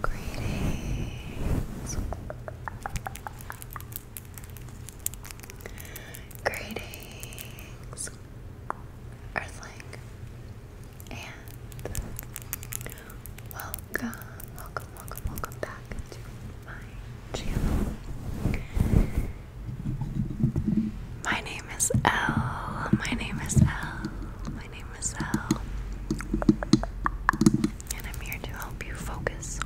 Greetings. Greetings. Earthling. And welcome, welcome, welcome, welcome back to my channel. My name is Elle. My name is Elle. My name is Elle, and I'm here to help you focus.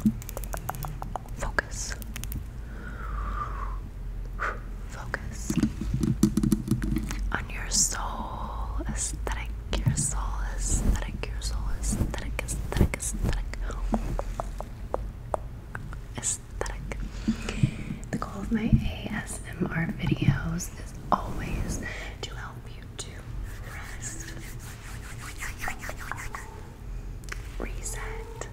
Focus. Focus on your soul aesthetic, your soul aesthetic, your soul aesthetic, aesthetic, aesthetic. Aesthetic. The goal of my ASMR videos is always to help you to rest, reset,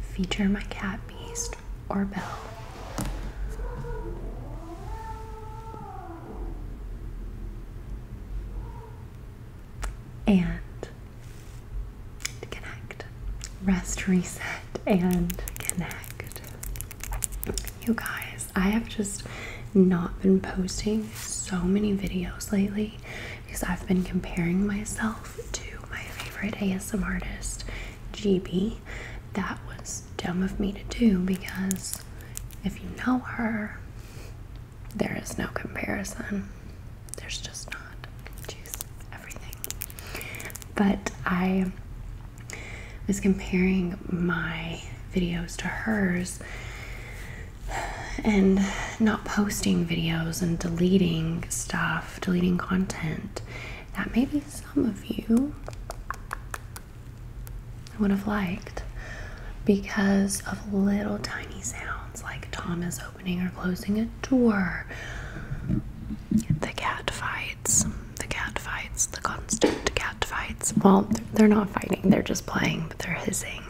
feature my cat Beast or Bell, And to connect, rest, reset, and connect. You guys, I have just not been posting so many videos lately because I've been comparing myself to my favorite ASM artist, GB. That was dumb of me to do because if you know her, there is no comparison. There's just not. But I was comparing my videos to hers and not posting videos and deleting stuff, deleting content. That maybe some of you would have liked because of little tiny sounds like Thomas opening or closing a door the cat fights, the cat fights, the constant cat fights. Well, they're not fighting, they're just playing, but they're hissing.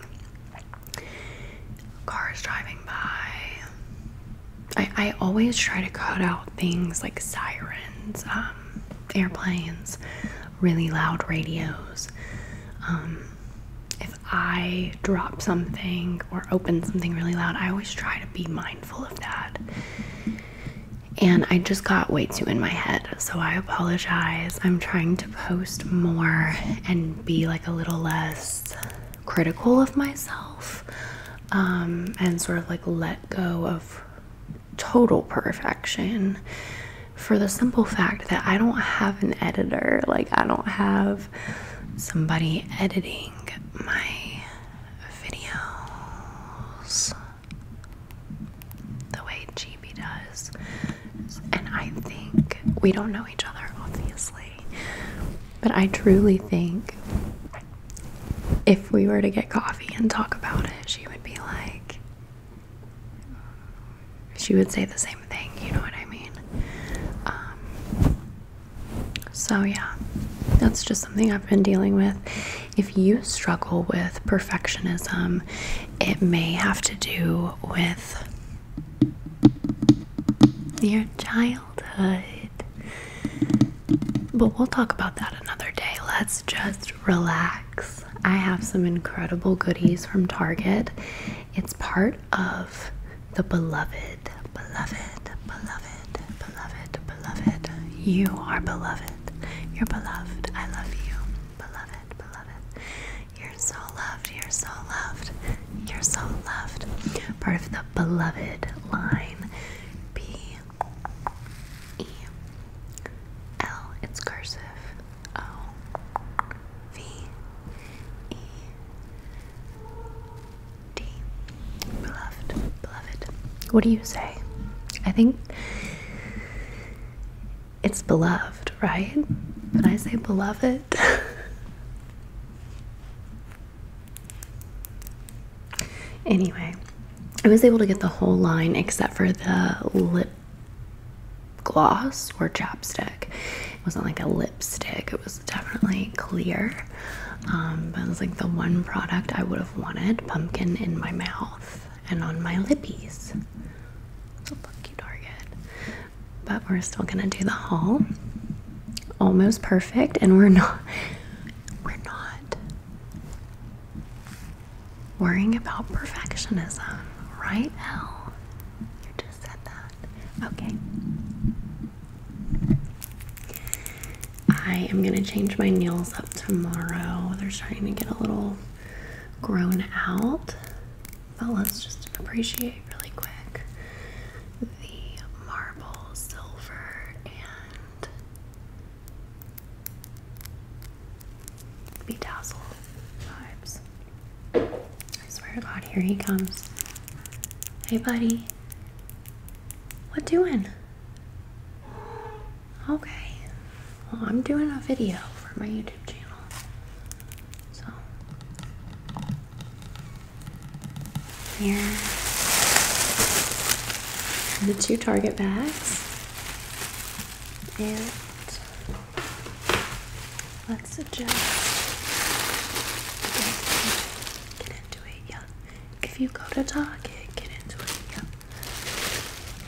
Cars driving by. I, I always try to cut out things like sirens, um, airplanes, really loud radios. Um, if I drop something or open something really loud, I always try to be mindful mindful of that. And I just got way too in my head, so I apologize. I'm trying to post more and be like a little less critical of myself um, and sort of like let go of total perfection for the simple fact that I don't have an editor, like, I don't have somebody editing my videos the way GB does. And I think we don't know each other, obviously, but I truly think if we were to get coffee and talk about it, she would be like, she would say the same thing, you know what I mean? Um, so, yeah, that's just something I've been dealing with. If you struggle with perfectionism, it may have to do with your childhood. But we'll talk about that another day. Let's just relax. I have some incredible goodies from Target. It's part of the Beloved beloved, beloved, beloved, beloved. You are beloved. You're beloved. I love you. Beloved, beloved. You're so loved. You're so loved. You're so loved. Part of the beloved line. B E L. It's cursive. O V E D. Beloved. Beloved. What do you say? I think it's beloved, right? When I say beloved. anyway, I was able to get the whole line except for the lip gloss or chapstick. It wasn't like a lipstick, it was definitely clear. Um, but it was like the one product I would have wanted pumpkin in my mouth and on my lippies. So look, Target. But we're still gonna do the haul. Almost perfect, and we're not. We're not worrying about perfectionism, right, now. You just said that. Okay. I am gonna change my nails up tomorrow. They're starting to get a little grown out, but let's just appreciate really quick the marble, silver, and bedazzle vibes. I swear to God, here he comes. Hey, buddy. What doing? Okay. Well, I'm doing a video for my YouTube channel. So here the two target bags. And let's adjust. Get into it, yeah. If you go to Target, get into it. Yeah.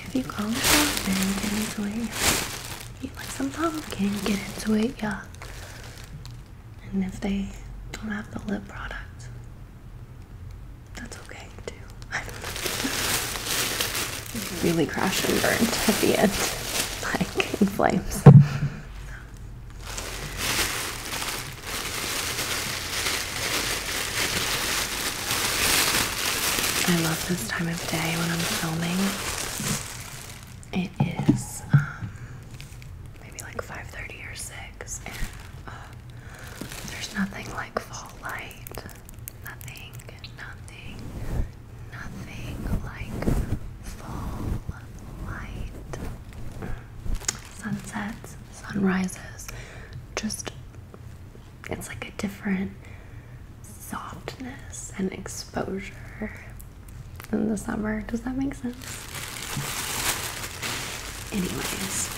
If you go to Target, get into it. Yeah. Eat like some pumpkin, get into it. Yeah. And if they don't have the lip product, that's okay too. I don't know. Really crash and burn at the end, like in flames. I love this time of day when I'm filming. It is um, maybe like 5:30 or 6, and uh, there's nothing like fall light. Nothing, nothing, nothing like fall light sunsets, sunrises. Just, it's like a different softness and exposure in the summer. Does that make sense? Anyways,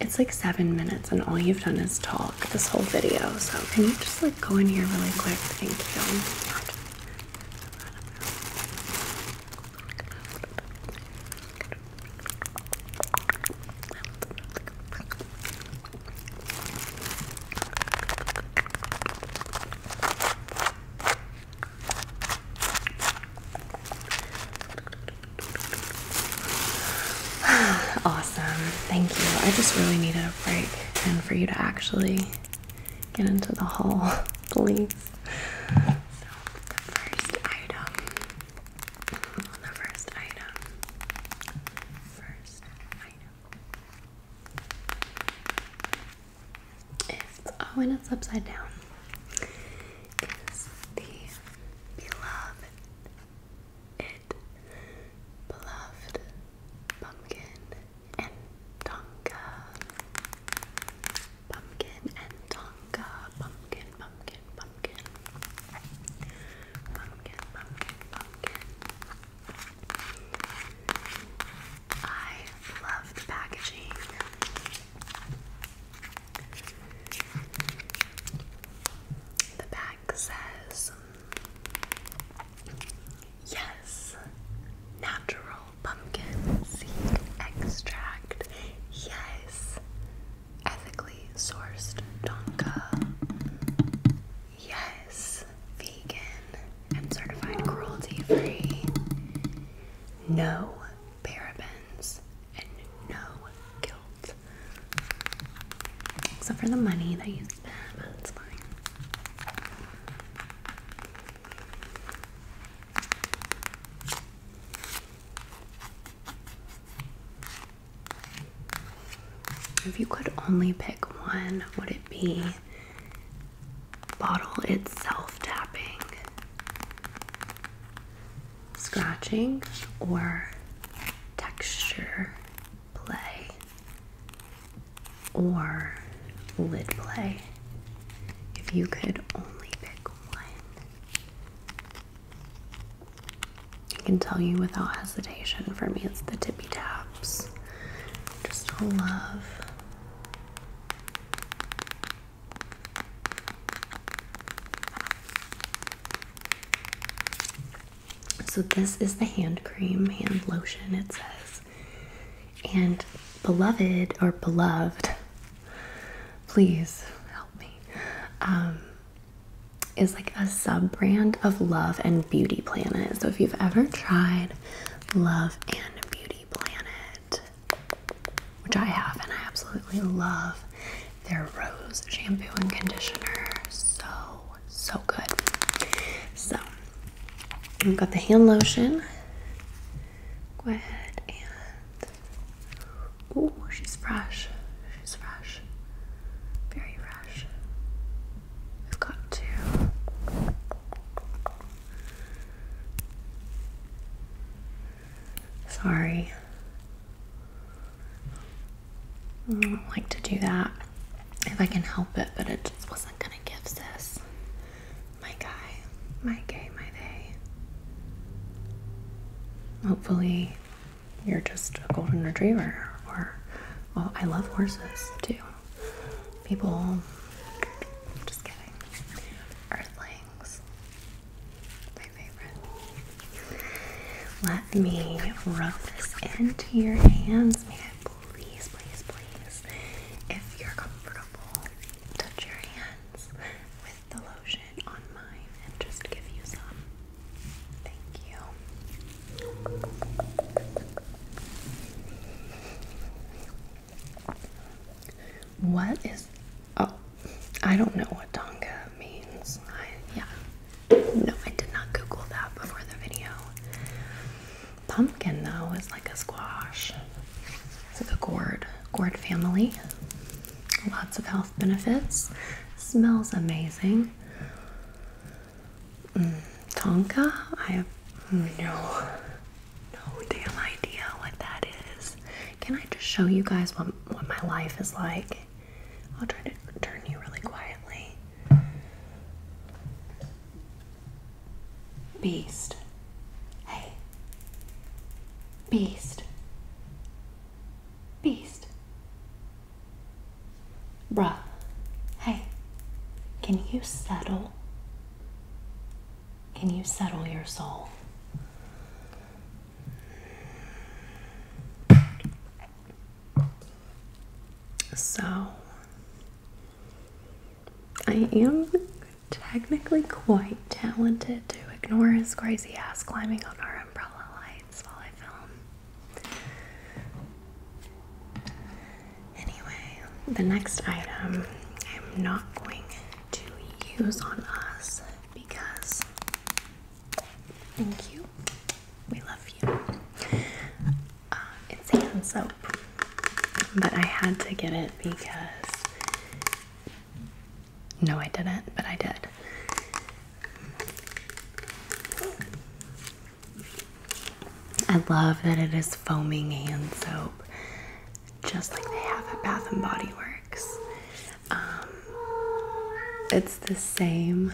it's like seven minutes, and all you've done is talk this whole video. So, can you just like go in here really quick? Thank you. awesome. Thank you. I just really needed a break and for you to actually get into the hall, please. So, the first item. The first item. First item. Is, oh, and it's upside down. Is the beloved, it beloved pumpkin and tonka. Pumpkin and tonka. Pumpkin, pumpkin, pumpkin. Pumpkin, pumpkin, pumpkin. I love the packaging. The back says Yes. Natural pumpkin seed extract. Yes. Ethically sourced Donka. Yes. Vegan and certified cruelty free. No parabens and no guilt. Except for the money that you spend, but fine. If you could only pick one, would it be bottle itself tapping, scratching, or texture play? or lid play if you could only pick one? I can tell you without hesitation for me it's the tippy taps. Just love. So, this is the hand cream, hand lotion, it says. And beloved or beloved, please help me, um, is like a sub brand of Love and Beauty Planet. So if you've ever tried Love and Beauty Planet, which I have and I absolutely love their rose shampoo and conditioner, so so good. So I've got the hand lotion. Go ahead and. Oh, she's fresh. She's fresh. Very fresh. We've got to. Sorry. I don't like to do that if I can help it, but it just wasn't gonna give this My guy, my gay, my day. Hopefully, you're just a golden retriever, or well, I love horses too. People, just kidding. Earthlings, my favorite. Let me rub this into your hands, man please, please, please, if you're comfortable, touch your hands with the lotion on mine and just give you some. Thank you. What is oh I don't know what Tonga means. I yeah. No, I did not Google that before the video. Pumpkin though is like a squash. It's like a gourd, gourd family. Lots of health benefits. Smells amazing. Mm, tonka? I have no, no damn idea what that is. Can I just show you guys what, what my life is like? I'll try to turn you really quietly. Beast. Hey. Beast. Beast. Bruh. Hey. Can you settle? Can you settle your soul? So, I am technically quite talented to ignore his crazy ass climbing on our umbrella lights while I film. Anyway, the next item I'm not going to use on us because thank you. We love you. Uh, it's hand soap, but I had to get it because no, I didn't, but I did. I love that it is foaming hand soap, just like they have at Bath and Body Works. Um, it's the same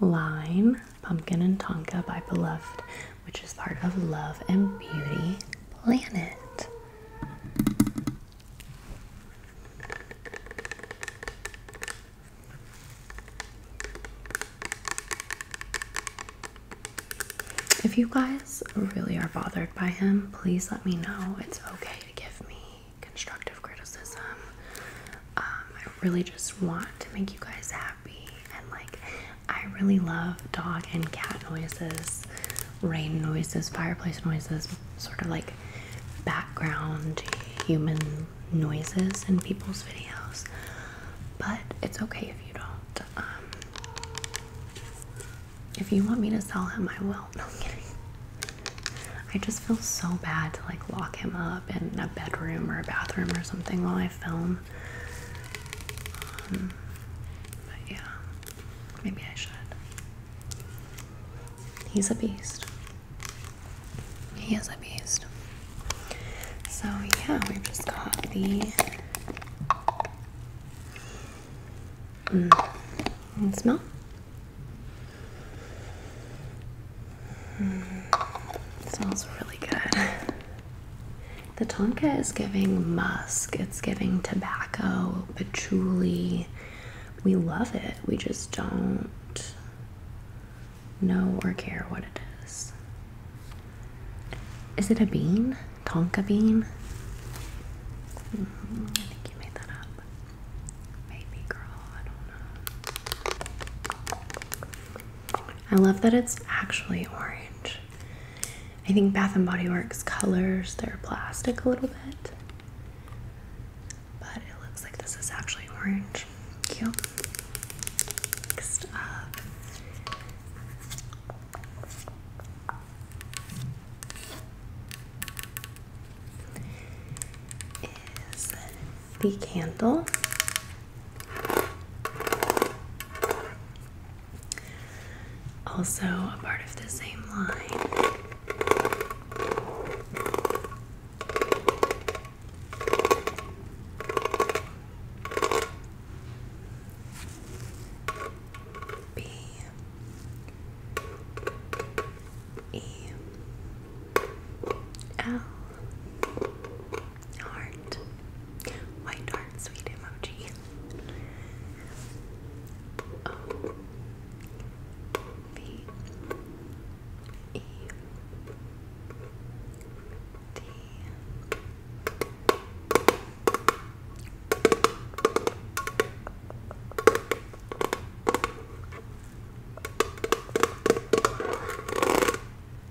line, Pumpkin and Tonka by Beloved, which is part of Love and Beauty Planet. If you guys really are bothered by him, please let me know. It's okay to give me constructive criticism. Um, I really just want to make you guys happy, and like, I really love dog and cat noises, rain noises, fireplace noises, sort of like background human noises in people's videos. But it's okay if you don't. Um, if you want me to sell him, I will. No, kidding. I just feel so bad to like lock him up in a bedroom or a bathroom or something while I film but yeah, maybe I should. He's a beast. He is a beast. So yeah, we've just got the. Mm, smell. Mm, smells really good. The tonka is giving musk, it's giving tobacco, patchouli. We love it, we just don't know or care what it is. Is it a bean? Tonka bean? Mm, I think you made that up. Baby girl, I don't know. I love that it's actually orange. I think Bath and Body Works colors their plastic a little bit, but it looks like this is actually orange. Cute. Next up. Is the candle. Also, a part of the same line. B E L heart white heart sweet emoji O B E D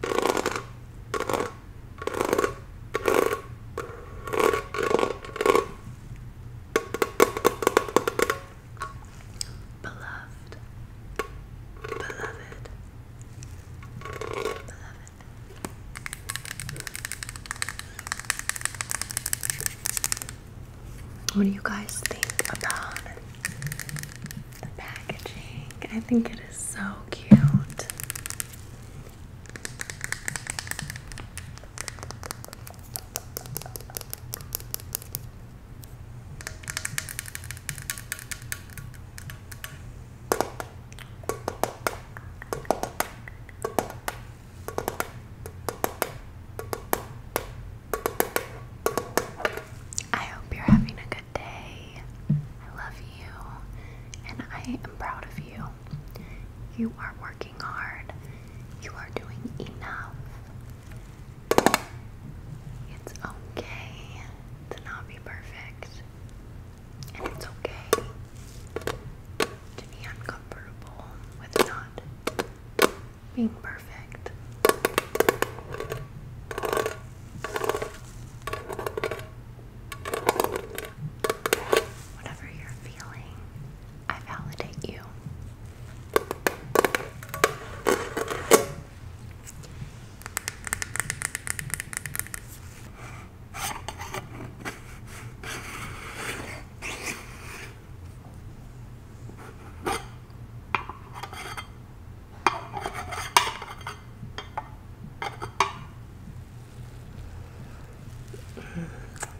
Beloved, beloved, beloved. What do you guys think about it? the packaging. I think it is so cute. I hope you're having a good day. I love you, and I am proud of you. You are working hard, you are doing enough. It's okay to not be perfect, and it's okay to be uncomfortable with not being perfect. Whatever you're feeling, I validate you.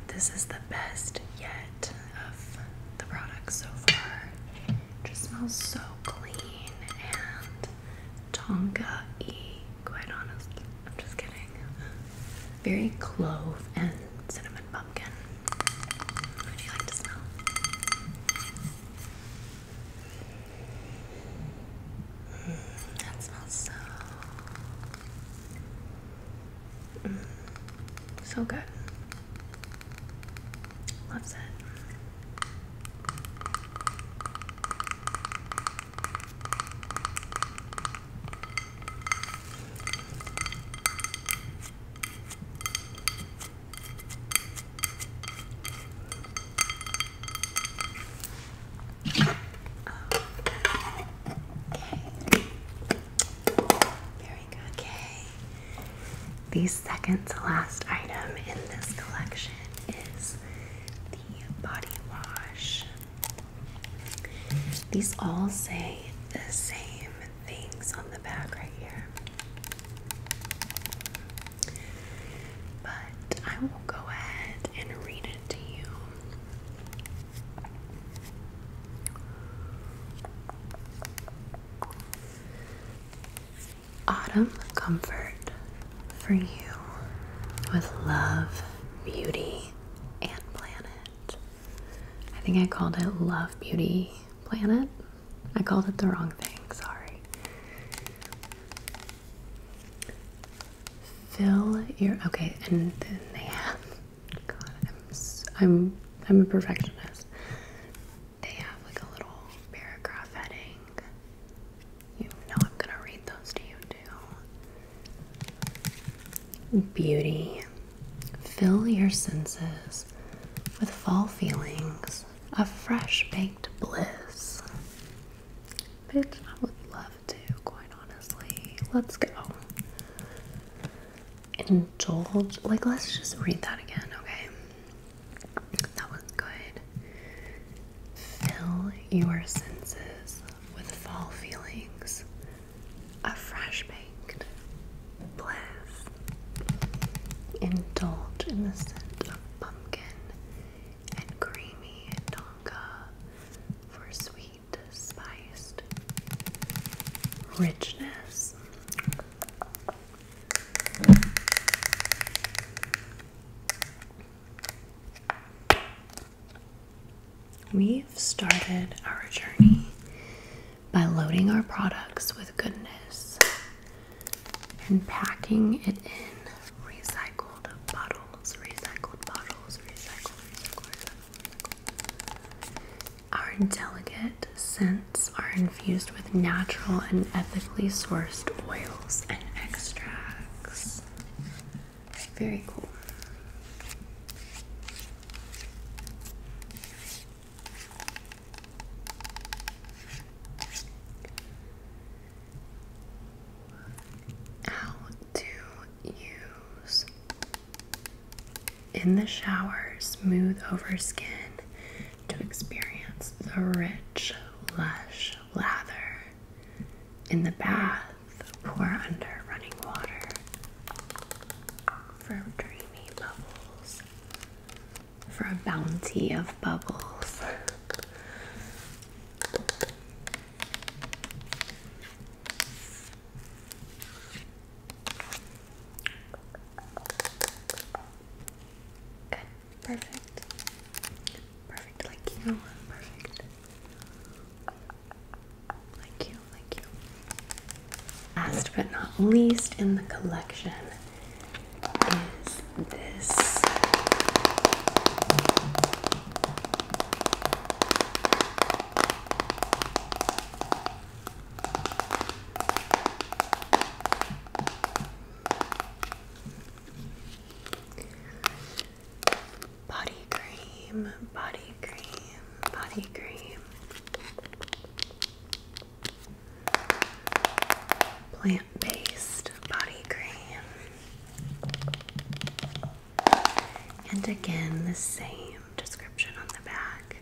This is the best yet of the products so far. just smells so clean and Tonga E. quite honestly. I'm just kidding. Very clove and cinnamon pumpkin. Would you like to smell? that smells so so good. Loves it. Okay. Very good. Okay. The second to last item in this collection is the body wash. These all say the same things the back right here. But I will go ahead and read it to you. Autumn comfort for you with love, beauty, and planet. I think I called it Love Beauty Planet I called it the wrong thing, sorry. Fill your okay, and then they have. God, I'm I'm I'm a perfectionist. They have like a little paragraph heading. You know I'm gonna read those to you too. Beauty. Fill your senses with fall feelings a fresh baked bliss. Bitch, I would love to, quite honestly. Let's go. Indulge. Like, let's just read that again, okay? That was good. Fill your senses with fall feelings A fresh baked bliss. Indulge in the scent of pumpkin and creamy donka for sweet, spiced richness. We've started our journey by loading our products with goodness and packing it in recycled bottles, recycled bottles, recycled, recycled, Our delicate scents are infused with natural and ethically sourced oils and extracts. Very cool. How to use in the shower, smooth over skin to experience the rich, lush lather. In the bath, pour under running water for dreamy bubbles for a bounty of bubbles. perfect. Perfect, like you, perfect. Like you, like you. Last but not least in the collection is this. Body cream, body cream, body cream plant-based body cream. And again, the same description on the back.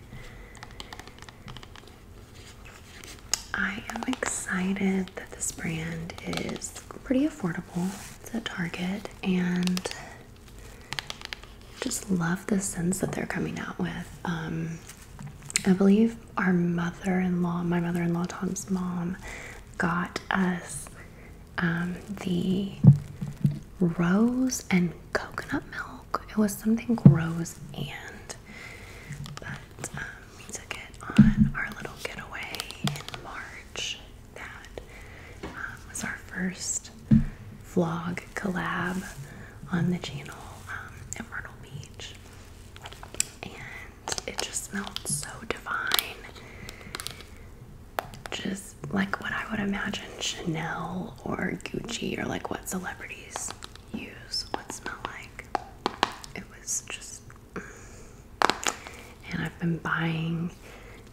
I am excited that this brand is pretty affordable. It's at Target and just love the scents that they're coming out with. Um, I believe our mother in law, my mother in law, Tom's mom, got us um, the rose and coconut milk. It was something rose and, um, we took it on our little getaway in March. That um, was our first vlog collab on the channel. Um, Beach. And it just smelled so divine. Just like what I would imagine Chanel or Gucci or like what celebrities use What smell like. It was just. And I've been buying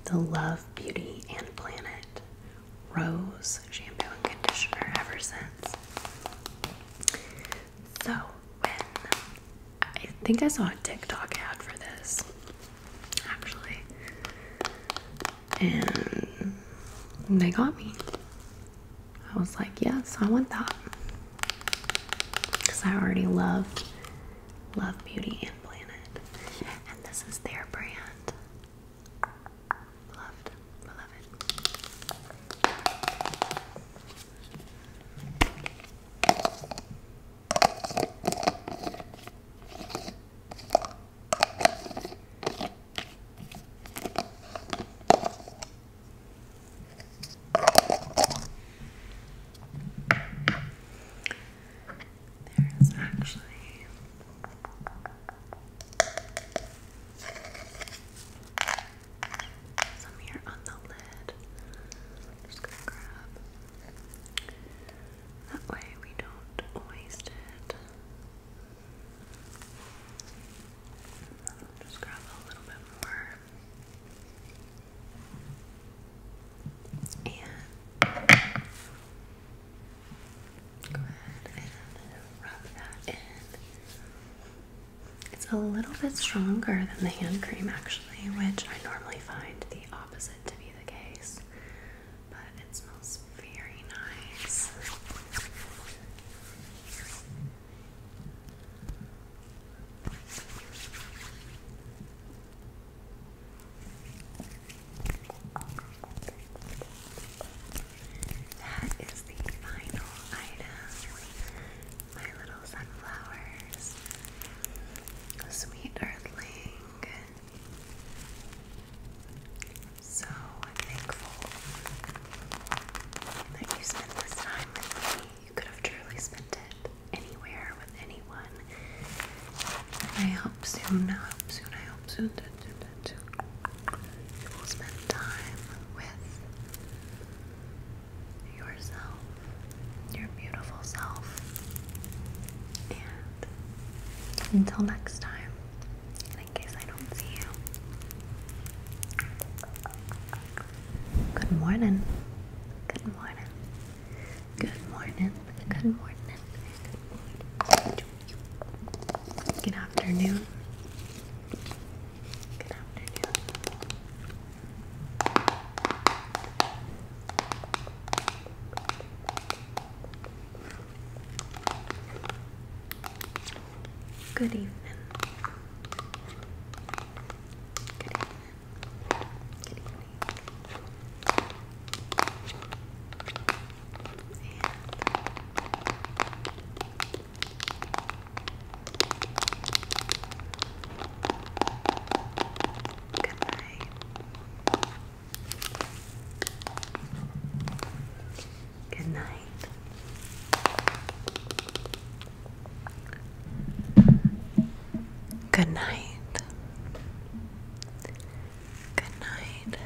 the Love, Beauty, and Planet Rose shampoo and conditioner ever since. So, when I think I saw a TikTok ad for this actually, and they got me. I was like, yes, I want that because I already love Love Beauty and Planet, and this is their brand. Loved, beloved. There is actually some here on the lid. just gonna grab. That way we don't waste it. Just grab a little bit more. And it's a little bit stronger than the hand cream, actually, which I normally find the opposite to be the case, but it smells very nice. That is the final item. My little sunflowers. Sweet earthling. So thankful that you spent this time with me. You could have truly spent it anywhere with anyone. And I hope soon, I hope soon, I hope soon that spend time with yourself, your beautiful self. And until next time, in case I don't see you, good morning, good morning, good morning, good morning, good morning. Good afternoon. Good afternoon. Good evening. Good evening. Good evening. And good night. Good night. Good night. Good night.